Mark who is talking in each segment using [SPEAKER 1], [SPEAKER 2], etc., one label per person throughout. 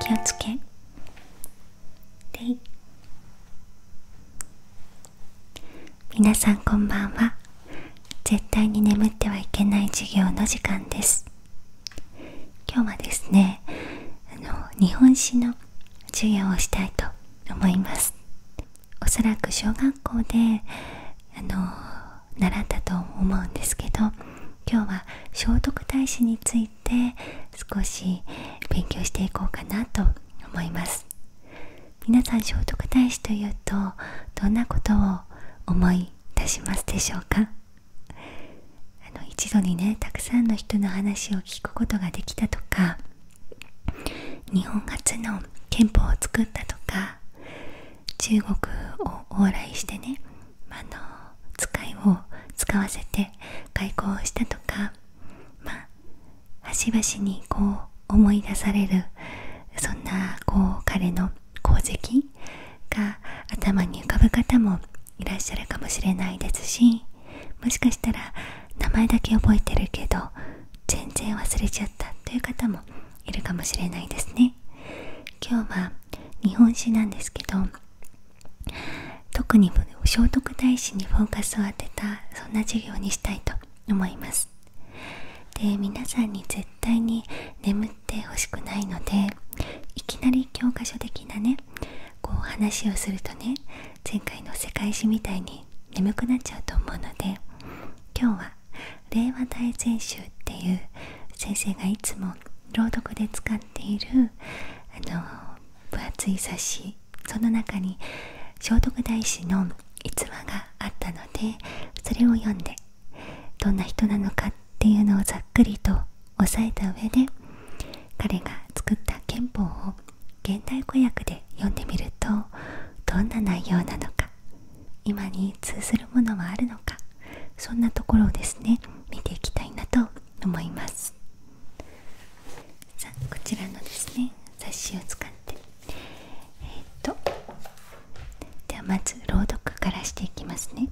[SPEAKER 1] 気をつけでいさんこんばんは絶対に眠ってはいけない授業の時間です今日はですねあの日本史の授業をしたいと思いますおそらく小学校であの習ったと思うんですけど今日は聖徳太子について少し勉強していこうかなと思います皆さん聖徳太子というとどんなことを思い出しますでしょうかあの一度にねたくさんの人の話を聞くことができたとか日本初の憲法を作ったとか中国を往来してねあの使いを使わせて開港したとかまあ端々にこう思い出されるそんなこう彼の功績が頭に浮かぶ方もいらっしゃるかもしれないですしもしかしたら名前だけ覚えてるけど全然忘れちゃったという方もいるかもしれないですね今日は日本史なんですけど特に聖徳太子にフォーカスを当てたそんな授業にしたいと思いますで皆さんに絶対に眠ってほしくないのでいきなり教科書的なねこう話をするとね前回の世界史みたいに眠くなっちゃうと思うので今日は「令和大全集」っていう先生がいつも朗読で使っているあの分厚い冊子その中に聖徳太子の逸話があったのでそれを読んでどんな人なのかっていうのをざっくりと押さえた上で彼が作った憲法を現代語訳で読んでみるとどんな内容なのか今に通ずるものはあるのかそんなところをですね見ていきたいなと思いますさあこちらのですね冊子を使ってえっとではまず朗読からしていきますね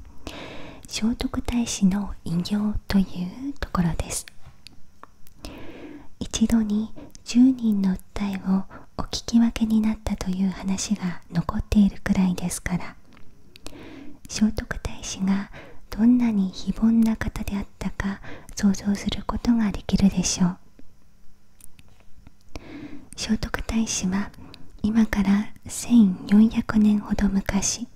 [SPEAKER 1] 聖徳太子の偉業というところです一度に10人の訴えをお聞き分けになったという話が残っているくらいですから聖徳太子がどんなに非凡な方であったか想像することができるでしょう聖徳太子は今から1400年ほど昔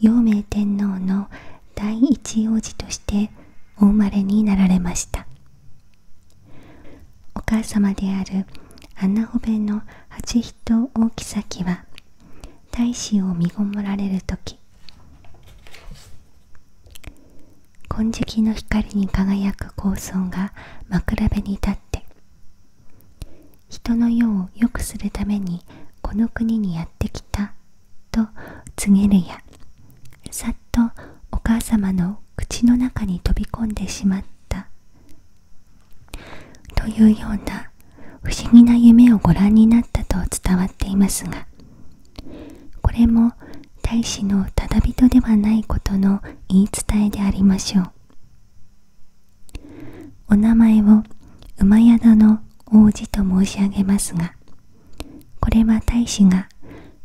[SPEAKER 1] 陽明天皇の第一王子としてお生まれになられましたお母様であるアナホベの八人大きは太子を見ごもられる時金色の光に輝く高尊が枕辺に立って人の世を良くするためにこの国にやってきたと告げるやさっとお母様の口の中に飛び込んでしまったというような不思議な夢をご覧になったと伝わっていますがこれも大使のただ人ではないことの言い伝えでありましょうお名前を馬宿の王子と申し上げますがこれは大使が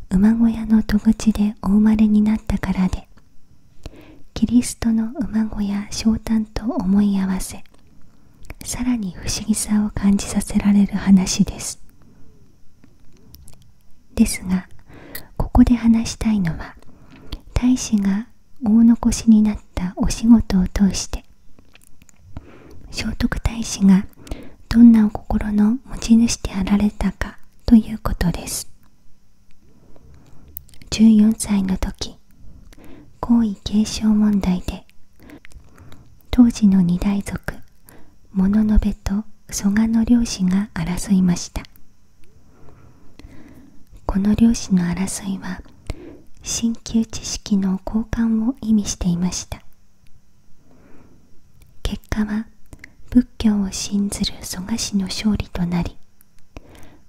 [SPEAKER 1] 馬小屋の戸口でお生まれになったからでキリストの馬小屋昇誕と思い合わせさらに不思議さを感じさせられる話ですですがここで話したいのは大使が大残しになったお仕事を通して聖徳太子がどんなお心の持ち主であられたかということです14歳の時皇位継承問題で当時の二大族物の部と蘇我の漁師が争いましたこの漁師の争いは鍼灸知識の交換を意味していました結果は仏教を信ずる蘇我氏の勝利となり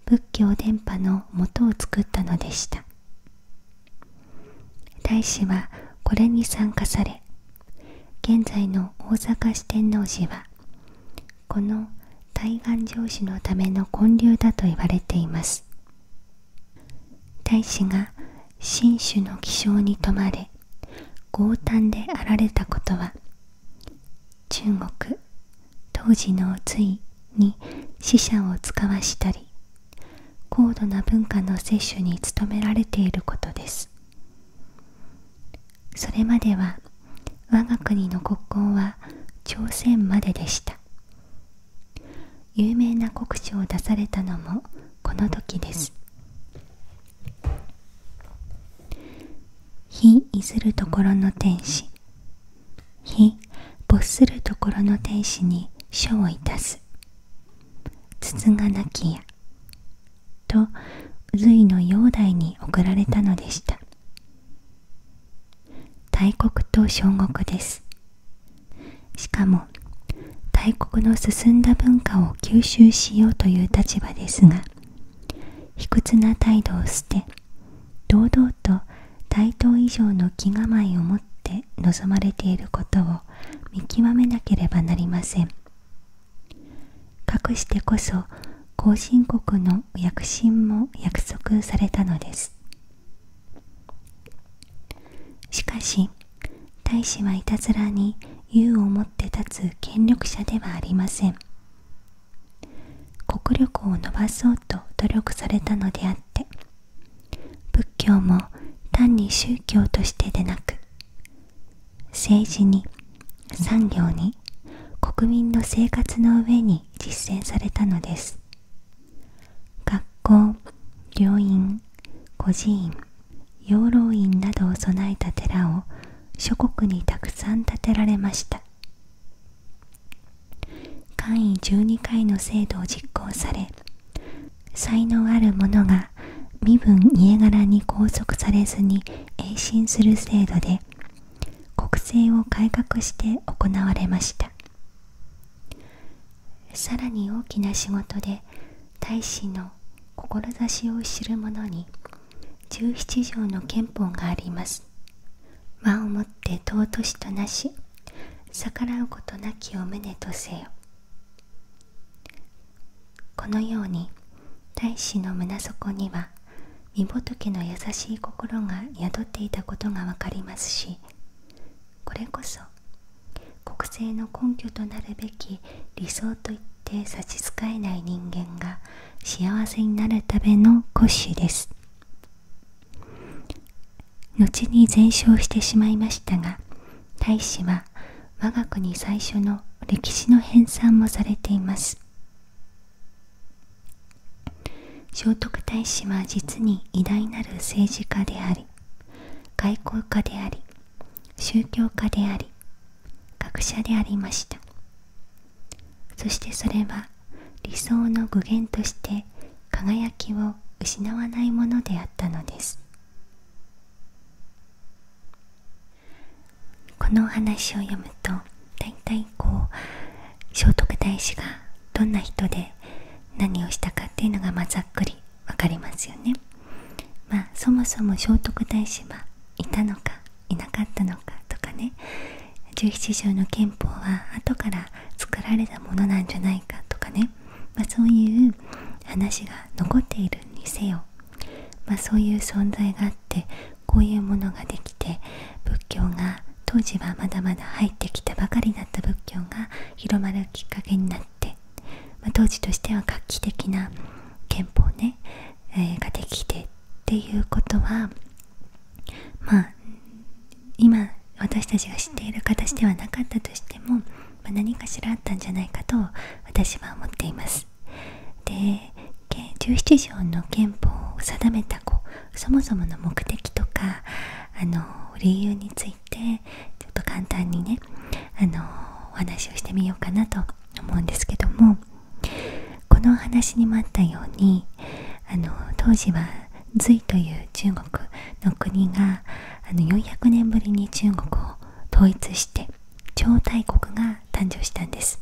[SPEAKER 1] 仏教伝播のもとを作ったのでした大師はこれに参加され現在の大阪市天王寺はこの対岸城主のための建立だと言われています太子が神主の気象に泊まれ強胆であられたことは中国当時の隋いに死者を使わしたり高度な文化の摂取に努められていることですそれまでは我が国の国交は朝鮮まででした有名な国書を出されたのもこの時です「非譲るところの天使」「非没するところの天使に書をいたす」「筒がなきや」と隋の煬帝に送られたのでした大国と小国ですしかも大国の進んだ文化を吸収しようという立場ですが卑屈な態度を捨て堂々と対等以上の気構えを持って望まれていることを見極めなければなりませんかくしてこそ後進国の躍進も約束されたのですしかし大使はいたずらに勇をもって立つ権力者ではありません国力を伸ばそうと努力されたのであって仏教も単に宗教としてでなく政治に産業に国民の生活の上に実践されたのです学校、病院、孤児院、養老院などを備えた寺を諸国にたくさん建てられました簡易十二回の制度を実行され才能ある者が身分家柄に拘束されずに永進する制度で国政を改革して行われましたさらに大きな仕事で太子の志を知る者に17条の憲法があります間をもって尊しとなし逆らうことなきを胸とせよこのように太子の胸底には御仏の優しい心が宿っていたことがわかりますしこれこそ国政の根拠となるべき理想といって差し支えない人間が幸せになるための骨子です後に全焼してしまいましたが大使は我が国最初の歴史の編纂もされています聖徳太子は実に偉大なる政治家であり外交家であり宗教家であり学者でありましたそしてそれは理想の具現として輝きを失わないものであったのですこのお話を読むと大体こう聖徳太子がどんな人で何をしたかっていうのがまあざっくり分かりますよね。まあそもそも聖徳太子はいたのかいなかったのかとかね17条の憲法は後から作られたものなんじゃないかとかね、まそういう話が残っているにせよ、まあ、そういう存在があってこういうものができて仏教が当時はまだまだ入ってきたばかりだった仏教が広まるきっかけになって、ま当時としては画期的な憲法ね、えができてっていうことはまあ今私たちが知っている形ではなかったとしても、ま何かしらあったんじゃないかと私は思っています。で17条の憲法を定めた子。そもそもの目的とかあの理由についっちょっと簡単にねあのお話をしてみようかなと思うんですけどもこのお話にもあったようにあの当時は隋という中国の国があの400年ぶりに中国を統一して超大国が誕生したんです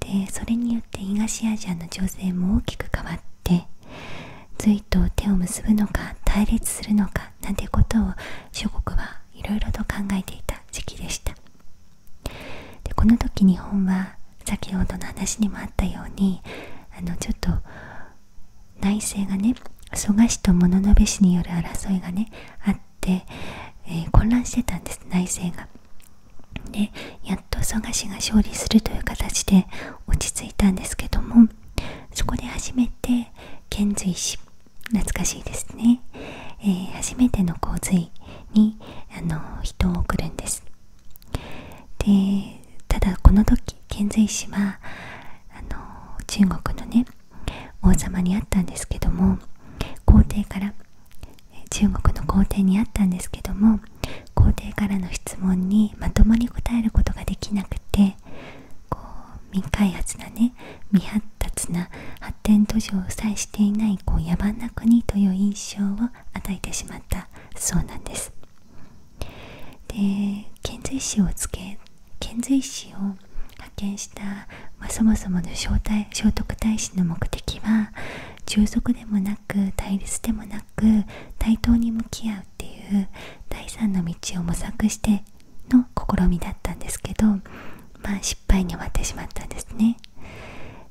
[SPEAKER 1] でそれによって東アジアの情勢も大きく変わっって隋と手を結ぶのか対立するのかなんてことを諸国はいろいろと考えていた時期でしたでこの時日本は先ほどの話にもあったようにあのちょっと内政がね蘇我氏と物部氏による争いがねあって、え混乱してたんです内政が。でやっと蘇我氏が勝利するという形で落ち着いたんですけどもそこで初めて遣隋使懐かしいですね、え初めての洪水にあの人を送るんですでただこの時遣隋使はあの中国のね王様にあったんですけども皇帝から中国の皇帝にあったんですけども皇帝からの質問にまともに答えることができなくて未開発なね未発達な発展途上を際していない野蛮な国という印象を与えてしまったそうなんです。遣隋使を派遣した、そもそもの聖徳太子の目的は従属でもなく対立でもなく。く対等に向き合うっていう第三の道を模索しての試みだったんですけど、まあ、失敗に終わってしまったんですね。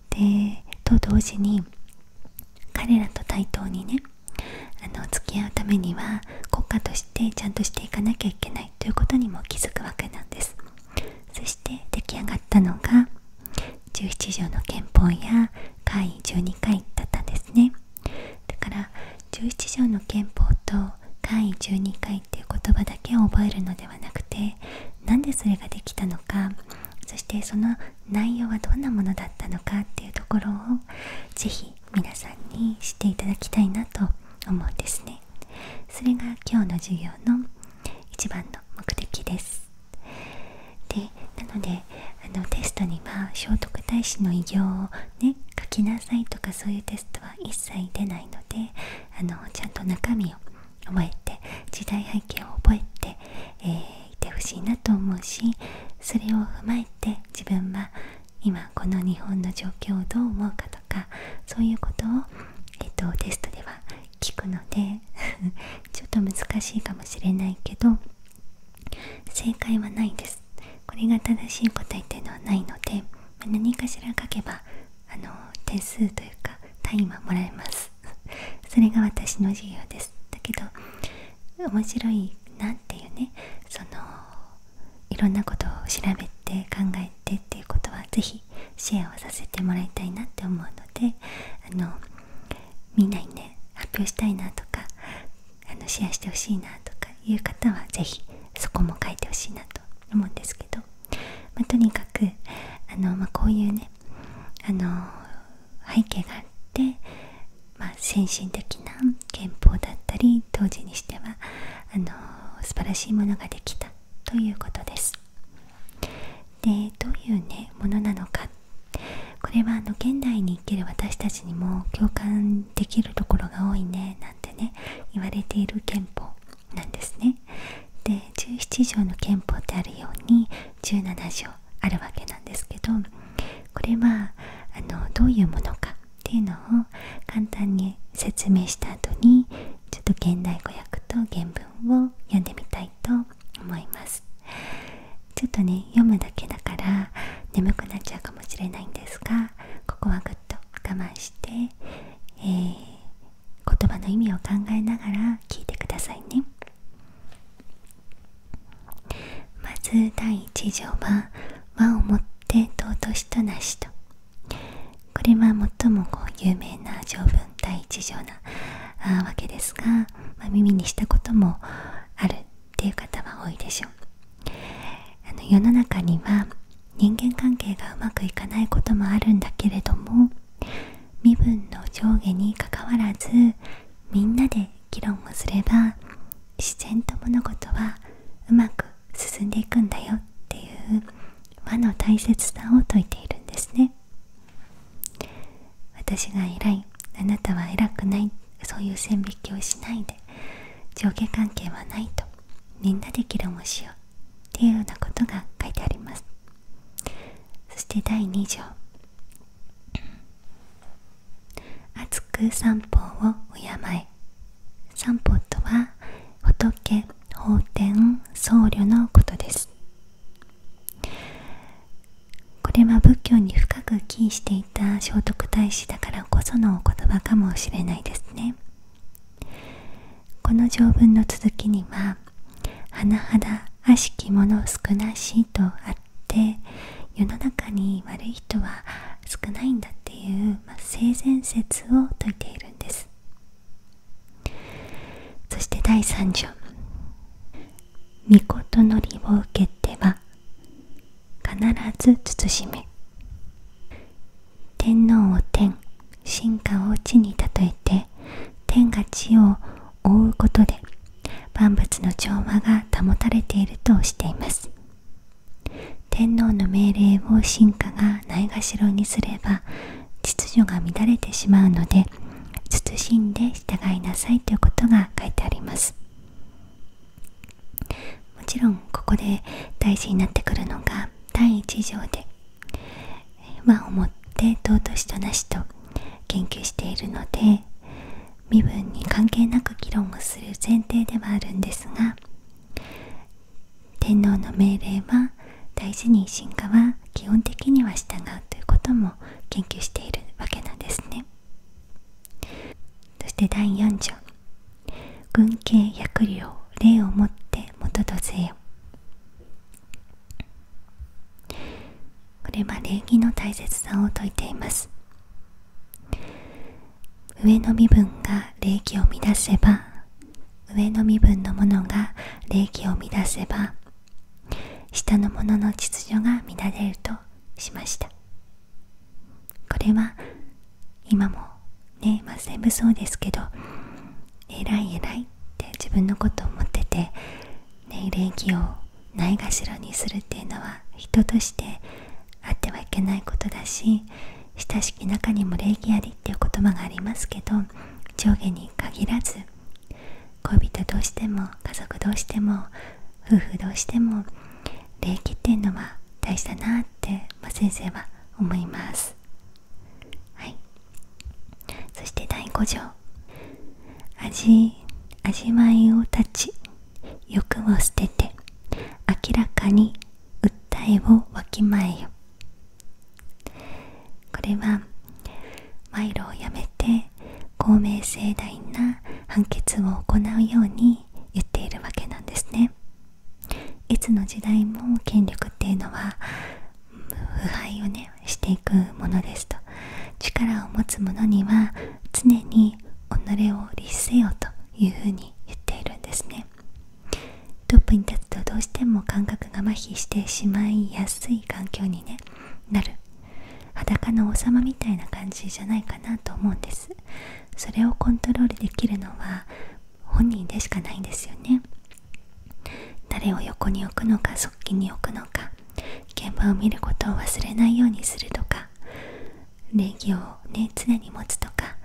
[SPEAKER 1] でと同時に彼らと対等にねあの付き合うためには国家としてちゃんとしていかなきゃいけないということにも気づくわけなんですそして出来上がったのが17条の憲法や回12回だったですねだから11条の憲法と下位12回っていう言葉だけを覚えるのではなくてなんでそれができたのかそしてその内容はどんなものだったのかっていうところを是非皆さんに知っていただきたいなと思うんですねそれが今日の授業の一番の目的ですでなのであのテストには聖徳太子の偉業をね書きなさいとかそういうテストは一切出ないのであのちゃんと中身を覚えて時代背景を覚えて、えいてほしいなと思うしそれを踏まえて自分は今この日本の状況をどう思うかとかそういうことを、えっと、テストでは聞くので ちょっと難しいかもしれないけど正解はないですこれが正しい答えっていうのはないので何かしら書けばあの点数というか単位はもらえます それが私の授業ですだけど面白いなっていうねそのいろんなことを調べて考えてっていうことは是非シェアをさせてもらいたいなって思うのであのみんなにね発表したいなとかあのシェアしてほしいなとかいう方は是非そこも書いてほしいなと思うんですけど、まとにかくあの、まこういうねあの背景があって、ま先進的な憲法だったり当時にしてはあの素晴らしいものができたということです。でどういうねものなのかこれはあの現代に生きる私たちにも共感できるところが多いねなんてね言われている憲法なんですね。で17条の憲法ってあるように17条あるわけなんですけどこれはあのどういうものかっていうのを簡単に説明した後にちょっと現代語訳と原文を読んでみたいと思います。ちょっとね読むだけだから眠くなっちゃうかもしれないんですがここはぐっと我慢して、えー、言葉の意味を考えながら聞いてくださいねまず第1条は「和をもって尊しとなしと」これは最もこう有名な条文第1条なわけですが、ま耳にしたこともあるっていう方は多いでしょうあの世の中には人間関係がうまくいかないこともあるんだけれども身分の上下にかかわらずみんなで議論をすれば自然と物事はうまく進んでいくんだよっていう和の大切さを説いているんですね私が偉いあなたは偉くないそういう線引きをしないで上下関係はないとみんなできる。もしようっていうようなことが書いてありますそして第2条「厚く散歩を敬え」散歩とは仏法典僧侶のことですこれは仏教に深く帰依していた聖徳太子だからこそのお言葉かもしれないですねこの条文の続きには「甚だ悪しき者の少なし」とあって世の中に悪い人は少ないんだっていう、ま性善説を説いているんですそして第3条「御事のりを受けては必ず慎め天皇を天進化を地に例えて天が地を覆うことで万物の調和が保たれているとしています天皇の命令を進化がないがしろにすれば秩序が乱れてしまうので慎んで従いなさいということが書いてありますもちろんここで大事になってくるのが第一条で和をもって尊しとなしと研究しているので身分に関係なく議論をする前提ではあるんですが天皇の命令は大事に進化は基本的には従うということも研究しているわけなんですね。そして第4条軍慶百料霊をもって元とせよこれは礼儀の大切さを説いています上の身分が礼儀を乱せば上の身分のものが礼儀を乱せば下の者の秩序が乱れるとしましたこれは今もねま全部そうですけど偉い偉いって自分のことを思ってて、ね、礼儀をないがしろにするっていうのは人としてあってはいけないことだし親しき中にも礼儀ありっていう言葉がありますけど上下に限らず恋人どうしても家族どうしても夫婦どうしても礼儀っていうのは大事だなって、先生は思いますはいそして第5条味味わいを断ち欲を捨てて明らかに訴えをわきまえよこれは賄賂をやめて公明正大な判決を行うように言っているわけなんですね。いつの時代も権力っていうのは腐敗をねしていくものですと力を持つ者には常に己を律せよというふうに言っているんですねトップに立つとどうしても感覚が麻痺してしまいやすい環境に、ね、なる裸の王様みたいな感じじゃないかなと思うんですそれをコントロールできるのは本人でしかないんですよね誰を横に置くのか側近に置くのか現場を見ることを忘れないようにするとか礼儀をね常に持つとか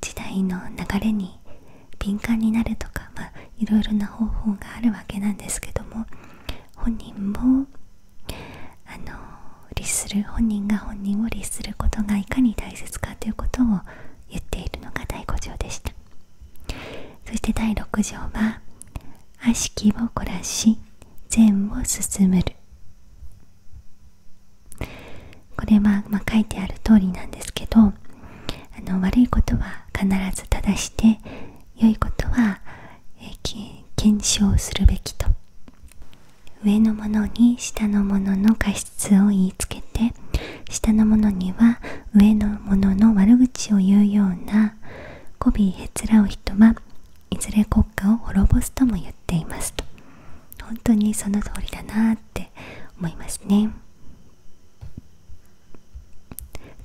[SPEAKER 1] 時代の流れに敏感になるとかまあいろいろな方法があるわけなんですけども本人もあの律する本人が本人を律することがいかに大切かということを言っているのが第5条でしたそして第6条は「悪しきを凝らし善を進むる」これは、ま書いてある通りなんですけどあの悪いことは必ず正して良いことは、え検証するべきと上の者に下の者の過失を言いつけて下の者には上の者の悪口を言うような媚びへつらう人はいずれ国家を滅ぼすとも言っていますと本当にその通りだなって思いますね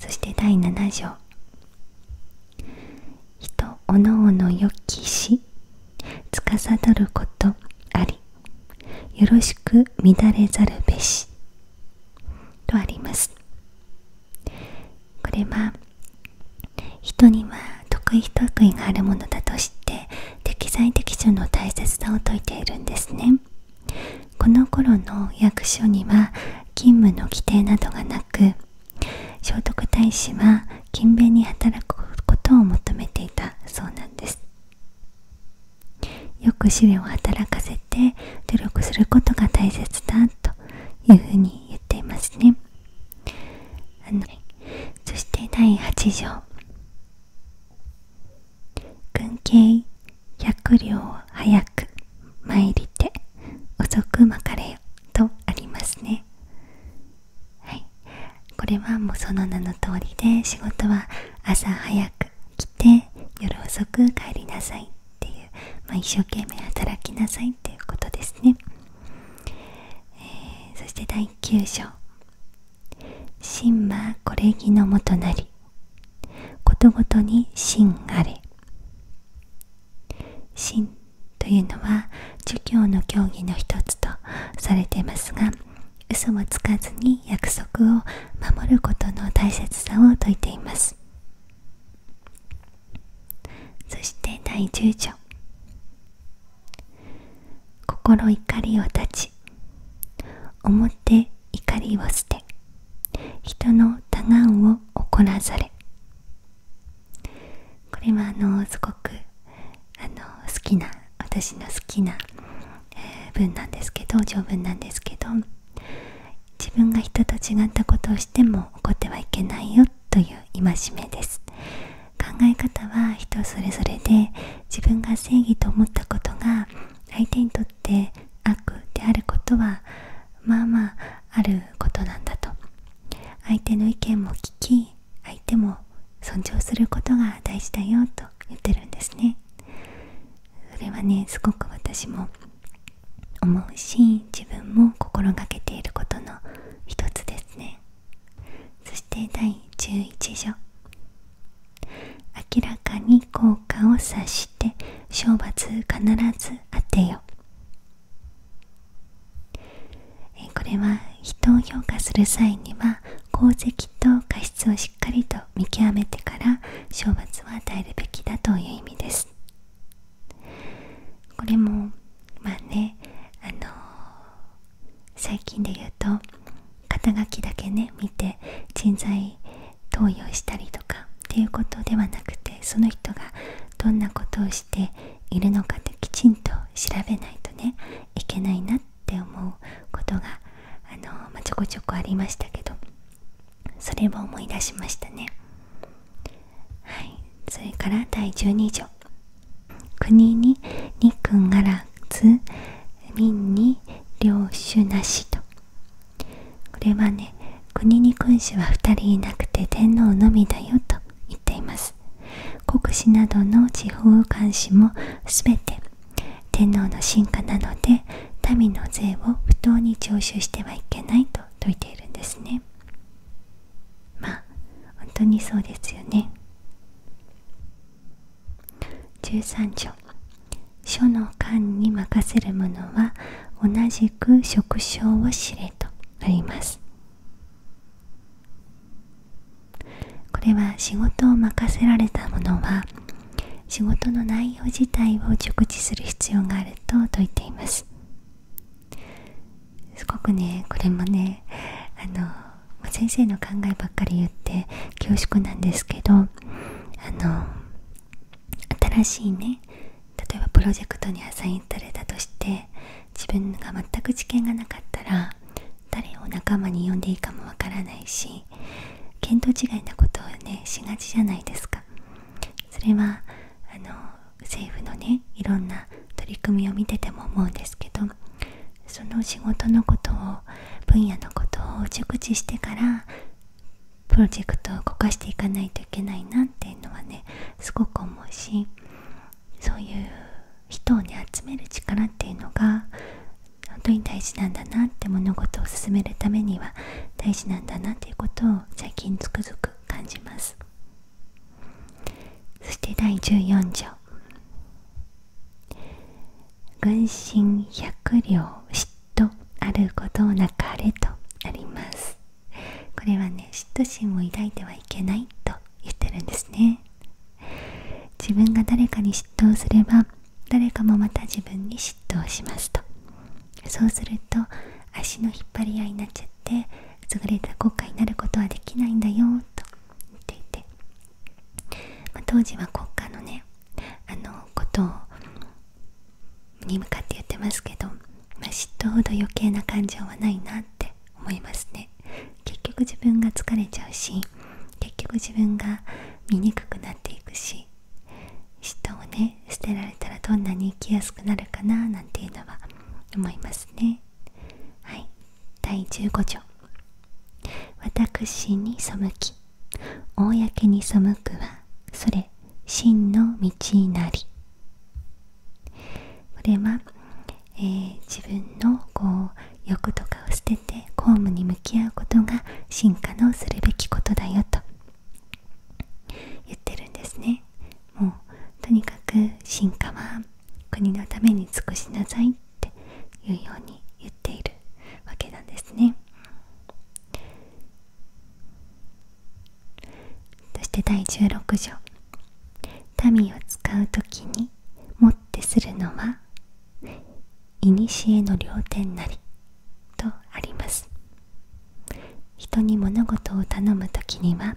[SPEAKER 1] そして第7条人おのおのよきし司ることありよろしく乱れざるべしとありますこれは人には得意不得意があるものだとして適材適所の大切さを説いているんですねこの頃の役所には勤務の規定などがなく聖徳太子は勤勉に働くことを求めていたそうなんですよく試練を働かせて努力することが大切だというふうに言っていますねあのそして第8条軍警百両早く参りて遅くまかれよとありますねはいこれはもうその名の通りで仕事は朝早く来て夜遅く帰りなさいっていう、ま一生懸命働きなさいっていうことですね、えそして第9章「真はこれぎのもとなりことごとに真あれ」「真」というのは儒教の教義の一つとされていますが嘘もつかずに約束を守ることの大切さを説いていますそして第10条心怒りを断ち思って怒りを捨て人の多願を怒らされこれはあのすごくあの好きな私の好きな、え文なんですけど条文なんですけど自分が人と違ったことをしても怒ってはいけないよという戒めです考え方は人それぞれで自分が正義と思ったことが相手にとって悪であることはまあまああることなんだと相手の意見も聞き相手も尊重することが大事だよと言ってるんですねそれはねすごく私も思うし自分も心がけていることの一つですねそして第11条明らかに効果を察して懲罰必ず当てよえこれは人を評価する際には功績と過失をしっかりと見極めてから賞罰を与えるべきだという意味ですこれもまあねあの最近で言うと肩書きだけね見て人材投与したりとかっていうことではなくてその人がどんなことをしているのかってきちんと調べないとねいけないなって思うことがあの、まちょこちょこありましたけどそれを思い出しましたねはいそれから第12条国にくんがらず民に領主なしとこれはね国に君主は2人いなくて天皇のみだよと言っています国司などの地方監視も全て天皇の進化なので民の税を不当に徴収してはいけないと説いているんですねまあ本当にそうですよね13条書の官に任せるものは同じく職称を知れとありますこれは仕事を任せられた者は仕事の内容自体を熟知する必要があると説いていますすごくねこれもねあの先生の考えばっかり言って恐縮なんですけどあの新しいね例えばプロジェクトにアサインされたとして自分が全く知見がなかったら誰を仲間に呼んでいいかもわからないし見当違いなことをねしがちじゃないですかそれはあの政府のねいろんな取り組みを見てても思うんですけどその仕事のことを分野のことを熟知してからプロジェクトをこかしていかないといけないなっていうのはねすごく思うしそういう人を集める力っていうのが本当に大事なんだなって物事を進めるためには大事なんだなっていうことを最近つくづく感じますそして第14条「軍心百両嫉妬あることなかれ」とありますこれはね嫉妬心を抱いてはいけないと言ってるんですね自分が誰かに嫉妬をすれば誰かもまた自分に嫉妬をしますとそうすると足の引っ張り合いになっちゃって優れた国家になることはできないんだよと言っていて、ま当時は国家のねあのことをに向かって言ってますけどまあ、嫉妬ほど余計な感情はないなって思いますね結局自分が疲れちゃうし結局自分が醜くなっていくし嫉妬をね捨てられたらどんなに生きやすくなるかななんていうのは思いますねはい第15条私に背き公に背くはそれ真の道なりこれは、え自分のこう欲とかを捨てて公務に向き合うことが進化のするべきことだよと言ってるんですねもうとにかく進化は国のために尽くしなさいっていうように言っているわけなんですねそして第16条民を使う時にもってするのは古の両典なりとあります人に物事を頼む時には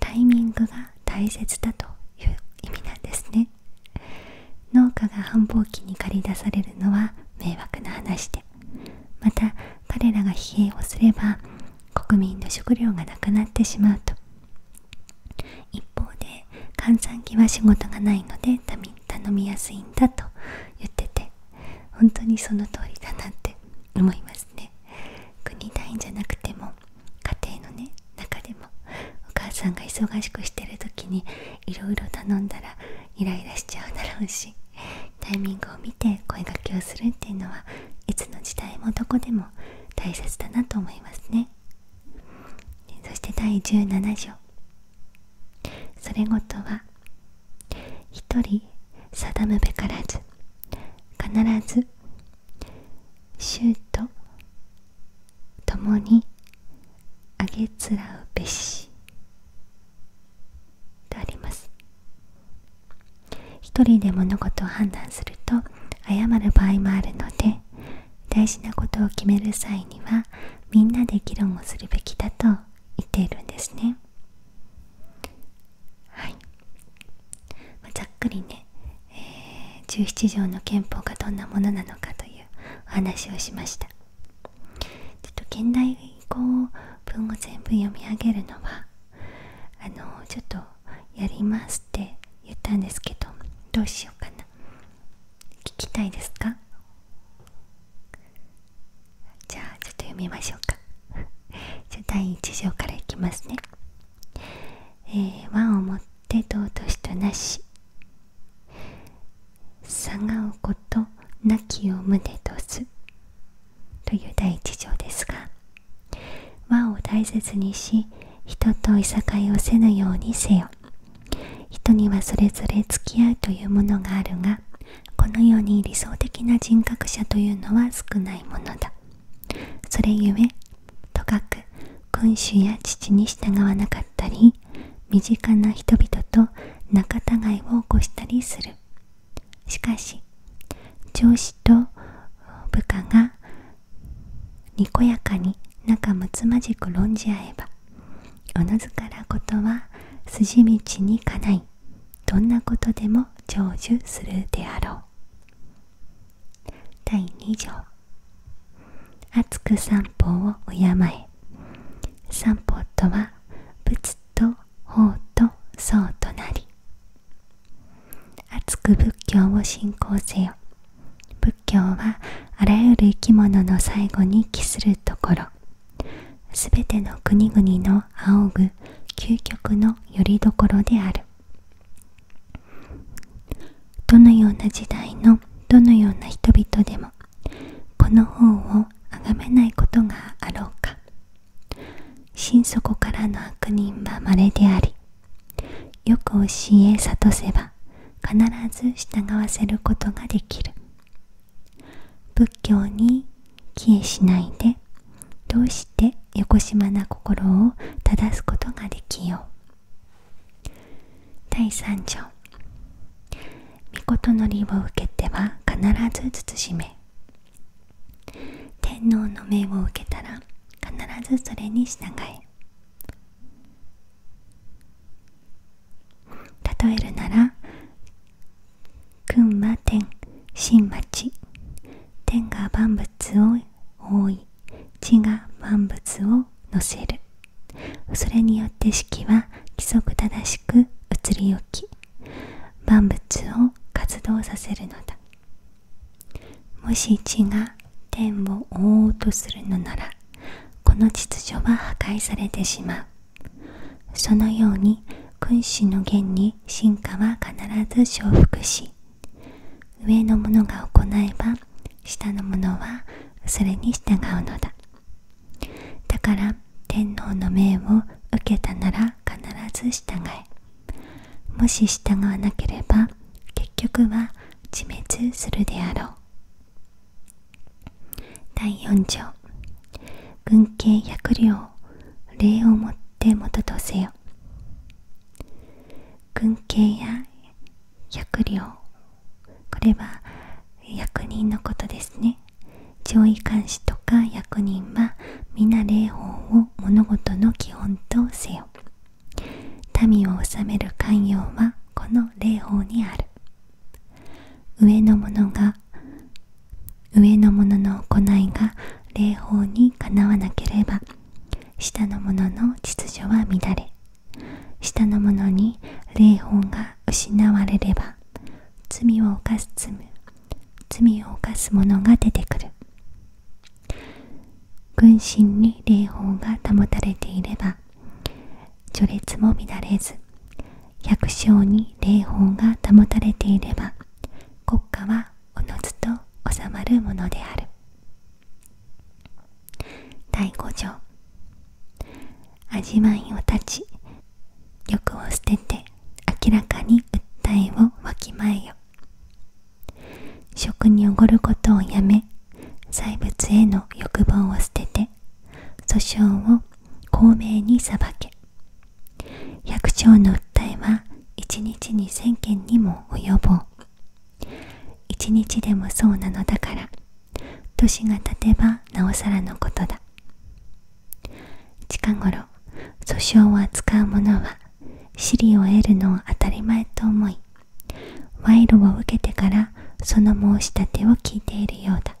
[SPEAKER 1] タイミングが大切だという意味なんですね農家が繁忙期に駆り出されるのは迷惑な話でまた彼らが疲弊をすれば国民の食料がなくなってしまうと一方で閑散期は仕事がないので頼みやすいんだと言ってて本当にその通りだなって思いますね国単位じゃなくても家庭のね中でもお母さんが忙しくしてる時にいろいろ頼んだらイライラしちゃうだろうしタイミングを見見て声掛けをするっていうのはいつの時代もどこでも大切だなと思いますねそして第17条それごとは一人定むべからず必ず衆と共にあげつらうべしとあります一人で物事を判断すると謝る場合もあるので大事なことを決める際にはみんなで議論をするべきだと言っているんですねはい、まざっくりね、え17条の憲法がどんなものなのかというお話をしましたちょっと現代語を文を全部読み上げるのはあのちょっとやりますって言ったんですけどどうしようかな聞きたいですかじゃあちょっと読みましょうか じゃあ第1条からいきますねえー、和をもって尊しとなしさがうことなきを胸とすという第一条ですが和を大切にし人といさかいをせぬようにせよ人にはそれぞれ付き合うというものがあるがこのように理想的な人格者というのは少ないものだそれゆえとかく君主や父に従わなかったり身近な人々と仲違いを起こしたりするしかし上司と部下がにこやかに仲睦まじく論じ合えばおのずからことは筋道にかないどんなことでも成就するであろう第2条熱く散歩を敬え散歩とは仏と法と僧となり熱く仏教を信仰せよ仏教はあらゆる生き物の最後に帰するところすべての国々の仰ぐ究極のよりどころであるどのような時代のどのような人々でもこの本をあがめないことがあろうか心底からの悪人は稀でありよく教え諭せば必ず従わせることができる仏教に帰依しないでどうして横島な心を正すことができよう第3条「御事のりを受けては必ず慎め」天皇の命を受けたら必ずそれに従え例えるなら君は天神町天が万物を覆い地が万物を乗せるそれによって四季は規則正しく移り置き万物を活動させるのだもし地が天を覆おうとするのならこの秩序は破壊されてしまうそのように君子の言に進化は必ず承服し上の者が行えば下の者はそれに従うのだだから天皇の命を受けたなら必ず従えもし従わなければ結局は自滅するであろう第4条軍警百両礼をもってもととせよ軍警や百両これは役人のことですね上位監視とか役人は皆礼法を物事の基本とせよ民を治める寛容はこの霊法にある上の者が上の者の行いが霊法にかなわなければ下の者の秩序は乱れ下の者に霊法が失われれば罪を犯す罪を犯す者が出てくる軍心に霊峰が保たれていれば序列も乱れず百姓に霊峰が保たれていれば国家はおのずと収まるものである第5条味わいを断ち欲を捨てて明らかに訴えをわきまえよ食におごることをやめ細物への欲望を捨てて訴訟を公明に裁け百姓の訴えは一日に千件にも及ぼう一日でもそうなのだから年が経てばなおさらのことだ近頃訴訟を扱う者は私利を得るのを当たり前と思い賄賂を受けてからその申し立てを聞いているようだ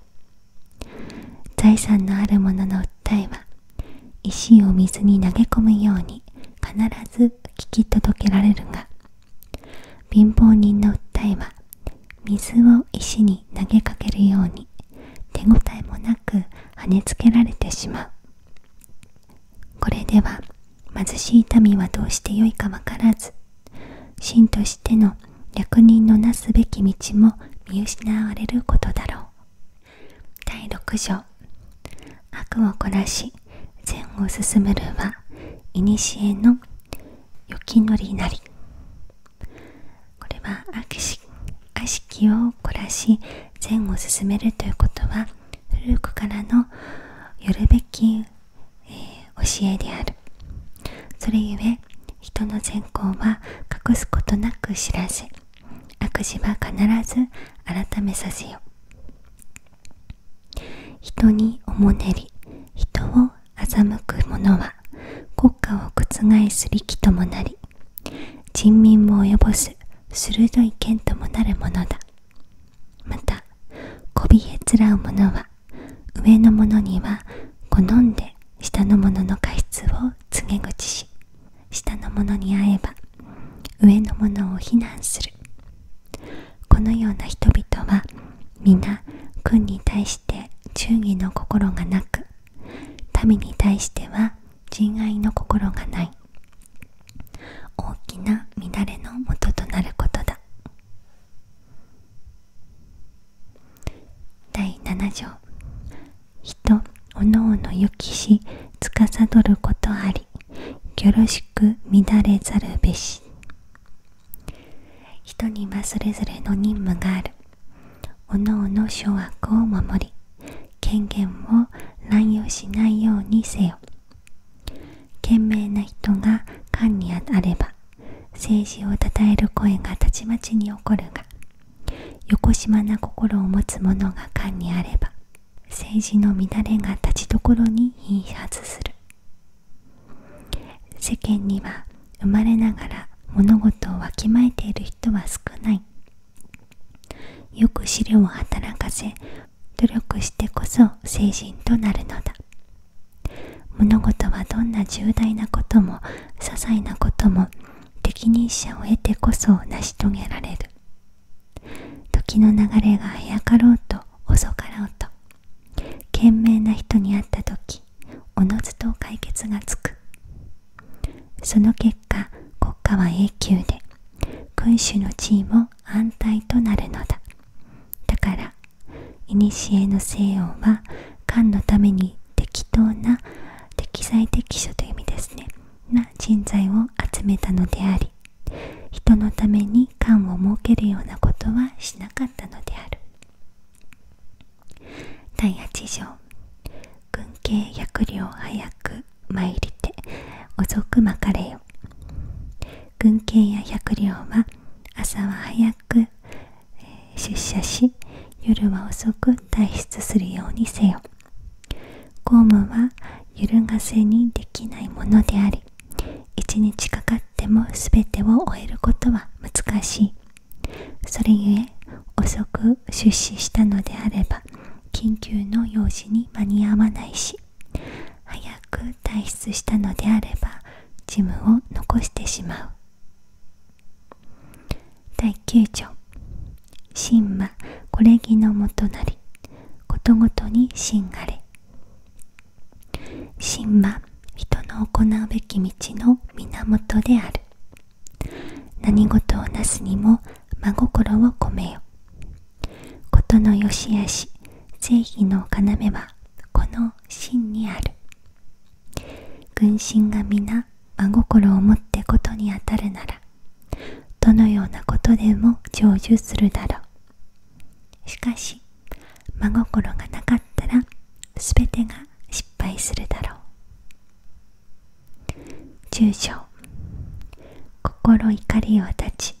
[SPEAKER 1] 財産のある者の訴えは石を水に投げ込むように必ず聞き届けられるが貧乏人の訴えは水を石に投げかけるように手応えもなく跳ねつけられてしまうこれでは貧しい民はどうしてよいかわからず神としての役人のなすべき道も見失われることだろう第6条悪を凝らし善を進むるは古のよきのりなりこれは悪し悪しきを凝らし善を進めるということは古くからのよるべき、え教えであるそれゆえ人の善行は隠すことなく知らせ悪事は必ず改めさせよ人におもねり人を欺く者は国家を覆す力ともなり人民も及ぼす鋭い剣ともなるものだまたこびへつらう者は上の者には好んで下の者の過失を告げ口し下の者に会えば上の者を非難するこのような人々は皆軍に対して忠義の心がなく民に対しては仁愛の心がない大きな乱れのもととなることだ第7条人おのおのゆきしつかさどることありよろしく乱れざるべし人にはそれぞれの任務があるおのおの諸悪を守り権限を乱用しないようにせよ賢明な人が官にあれば政治をたたえる声がたちまちに起こるが横島な心を持つ者が官にあれば政治の乱れがたちどころに貧発する世間には生まれながら物事をわきまえている人は少ないよく資料を働かせ努力してこそ成人となるのだ物事はどんな重大なことも些細なことも適任者を得てこそ成し遂げられる時の流れが早かろうと遅かろうと賢明な人に会った時おのずと解決がつくその結果国家は永久で君主の地位も安泰となるのだだから古の西洋は漢のために適当な適材適所という意味ですねな人材を集めたのであり人のために漢を設けるようなことはしなかったのである第8条軍慶百両早く参りて遅くまかれよ軍警や百両は朝は早く出社し夜は遅く退出するようにせよ公務は揺るがせにできないものであり一日かかっても全てを終えることは難しいそれゆえ遅く出資したのであれば緊急の用事に間に合わないし早く退出したのであれば事務を残してしまう第9条「神魔これぎのもとなりことごとに神がれ」「神魔人の行うべき道の源である」何事をなすにも真心を込めよ事のよしあし正義の要はこの真にある軍神が皆真心をもってことにあたるならどのようなことでも成就するだろうしかし真心がなかったらすべてが失敗するだろう住所心怒りを断ち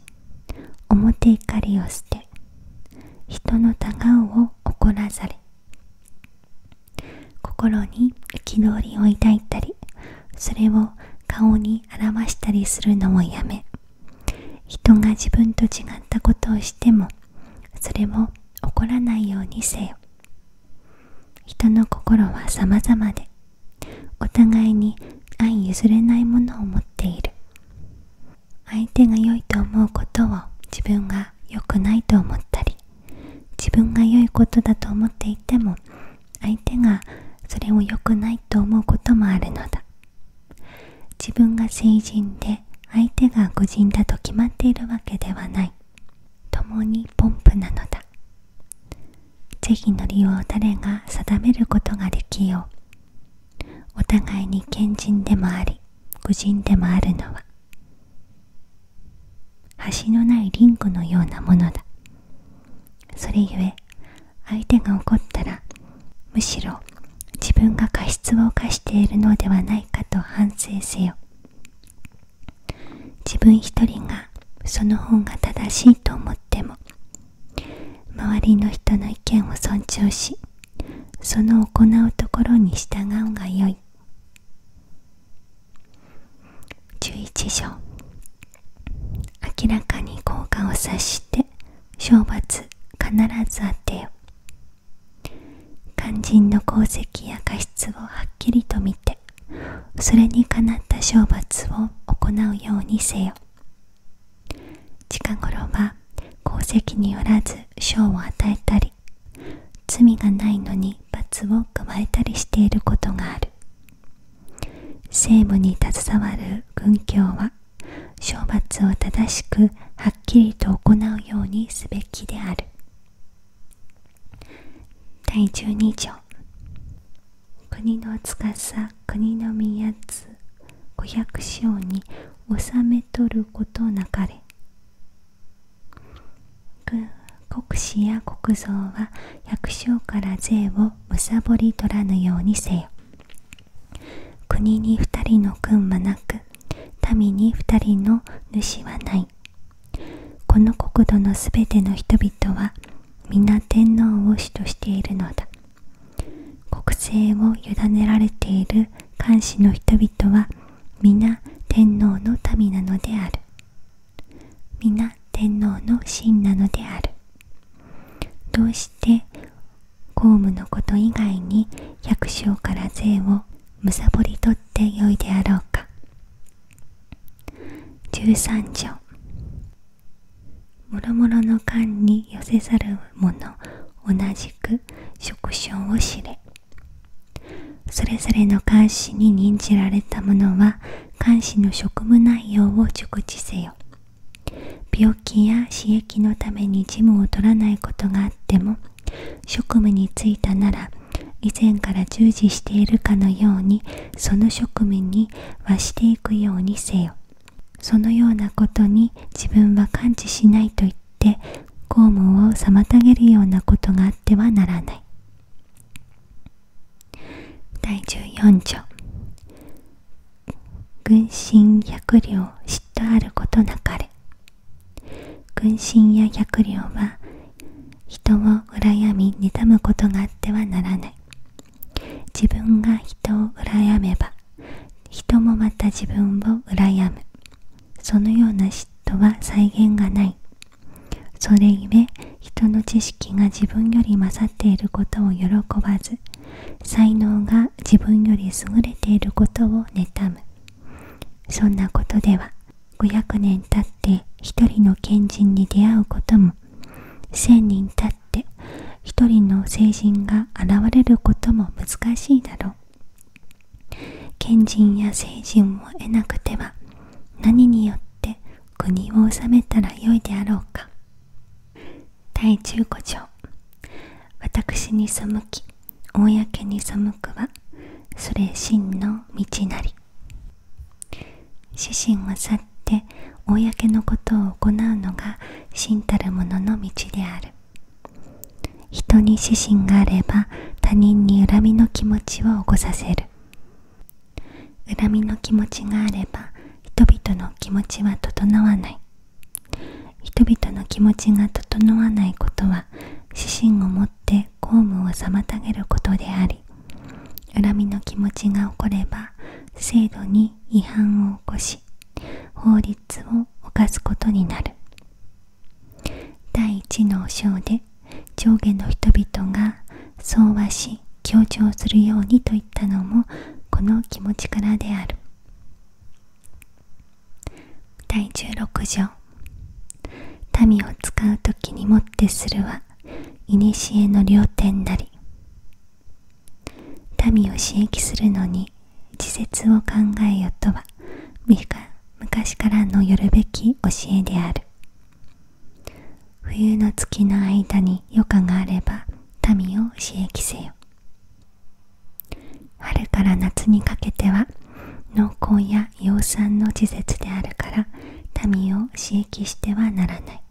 [SPEAKER 1] 表怒りを捨て人のたうを怒らざる心に憤りを抱いたりそれを顔に表したりするのをやめ人が自分と違ったことをしてもそれを怒らないようにせよ人の心は様々でお互いに相譲れないものを持っている相手が良いと思うことを自分が良くないと思ったり自分が良いことだと思っていても相手がそれを良くないと思うこともあるのだ自分が成人で相手が誤人だと決まっているわけではない共にポンプなのだ是非の利用を誰が定めることができようお互いに賢人でもあり愚人でもあるのは橋のないリングのようなものだそれゆえ相手が怒ったらむしろ自分が過失を犯しているのではないかと反省せよ自分一人がその方が正しいと思っても周りの人の意見を尊重しその行うところに従うがよい11条明らかに効果を察して懲罰必ず当てよ肝心の功績や過失をはっきりと見てそれにかなった懲罰を行うようにせよ近頃は功績によらず賞を与えたり罪がないのに罰を加えたりしていることがある政務に携わる軍教は賞罰を正しくはっきりと行うようにすべきである第12条国の司国の宮津五百姓に納めとることなかれ国士や国蔵は百姓から税をむさぼり取らぬようにせよ国に二人の軍はなく民に二人の主はないこの国土のすべての人々は皆天皇を主としているのだ国政を委ねられている漢氏の人々は皆天皇の民なのである皆天皇の臣なのであるどうして公務のこと以外に百姓から税をむさぼり取ってよいであろうか13条もろもろの間に寄せざる者同じく職称を知れそれぞれの監視に任じられた者は監視の職務内容を熟知せよ病気や刺激のために事務を取らないことがあっても職務に就いたなら以前から従事しているかのようにその職務に和していくようにせよそのようなことに自分は感知しないと言って公務を妨げるようなことがあってはならない第14条軍心百両嫉妬あることなかれ軍心や百両は人を羨み妬むことがあってはならない自分が人を羨めば人もまた自分を羨むそのような嫉妬は際限がないそれゆえ人の知識が自分より勝っていることを喜ばず才能が自分より優れていることを妬むそんなことでは500年経って一人の賢人に出会うことも1,000人たって一人の成人が現れることも難しいだろう賢人や成人を得なくては何によって国を治めたらよいであろうか第15条私に背き公に背くはそれ真の道なり主心を去って公のことを行うのが真たるものの道である人に私心があれば他人に恨みの気持ちを起こさせる恨みの気持ちがあれば人々の気持ちは整わない人々の気持ちが整わないことは私心をもって公務を妨げることであり。恨みの気持ちが起これば制度に違反を起こし法律を犯すことになる第一の章で上下の人々が相和し強調するようにといったのもこの気持ちからである第16条民を使う時にもってするはいにしえの両天なり民を刺激するのに自説を考えよとは昔からのよるべき教えである冬の月の間に余暇があれば民を刺激せよ春から夏にかけては農耕や養蚕の時節であるから民を刺激してはならない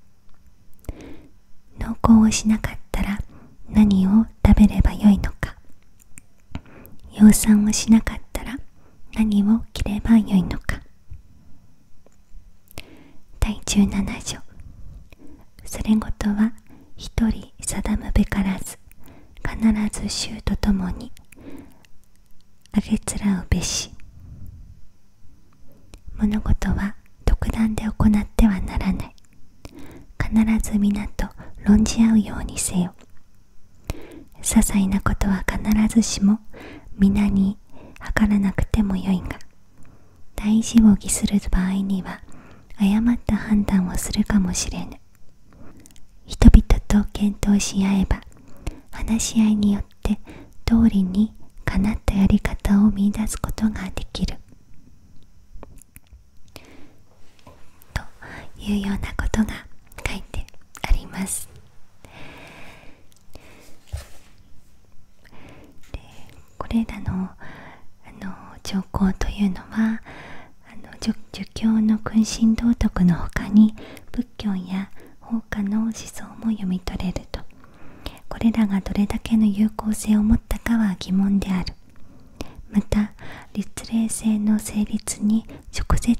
[SPEAKER 1] 農耕をしなかったら何を食べればよいのか養蚕をしなかったら何を着ればよいのか第17条それごとは一人定むべからず必ず衆とともにあげつらうべし物事は独断で行ってはならない必ず皆と論じ合うようにせよ些細なことは必ずしも皆に測らなくてもよいが大事を偽する場合には誤った判断をするかもしれぬ人々と検討し合えば話し合いによっ通りにかなったやり方を見出すことができるというようなことが書いてあります。これらのあの条項というのはあ儒教の君臣道徳のほかに仏。仏教や法華の思想も読み取れるとこれらがどれだけの有効性を持ったかは疑問であるまた律令制の成立に直接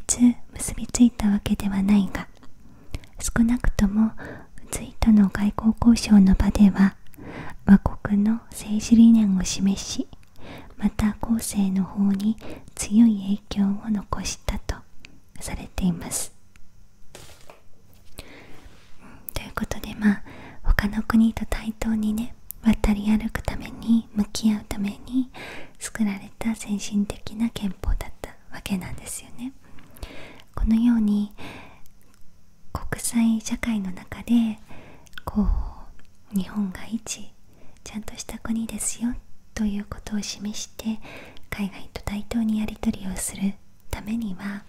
[SPEAKER 1] 結びついたわけではないが少なくとも隋との外交交渉の場では和国の政治理念を示しまた後世の方に強い影響を残したとされています。ということでまあ他の国と対等にね渡り歩くために向き合うために作られた先進的な憲法だったわけなんですよね。このように国際社会の中でこう日本が一ちゃんとした国ですよということを示して海外と対等にやり取りをするためには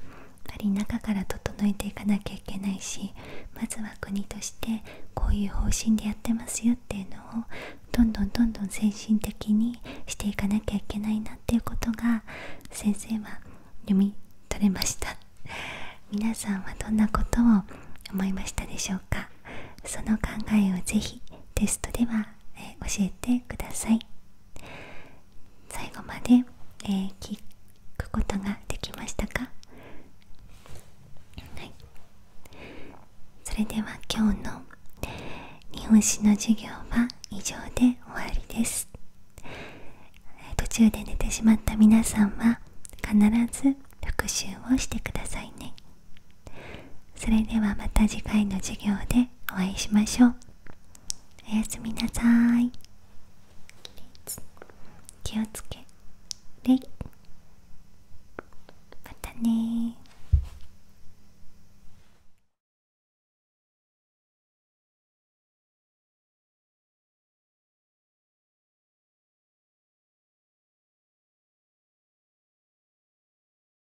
[SPEAKER 1] やっり中から整えていかなきゃいけないしまずは国としてこういう方針でやってますよっていうのをどんどんどんどん先進的にしていかなきゃいけないなっていうことが先生は読み取れました 皆さんはどんなことを思いましたでしょうかその考えをぜひテストでは、え教えてください最後まで、え聞くことができましたか、それでは今日の日本史の授業は以上で終わりです途中で寝てしまった皆さんは必ず復習をしてくださいねそれではまた次回の授業でお会いしましょうおやすみなさい気をつけれいまたね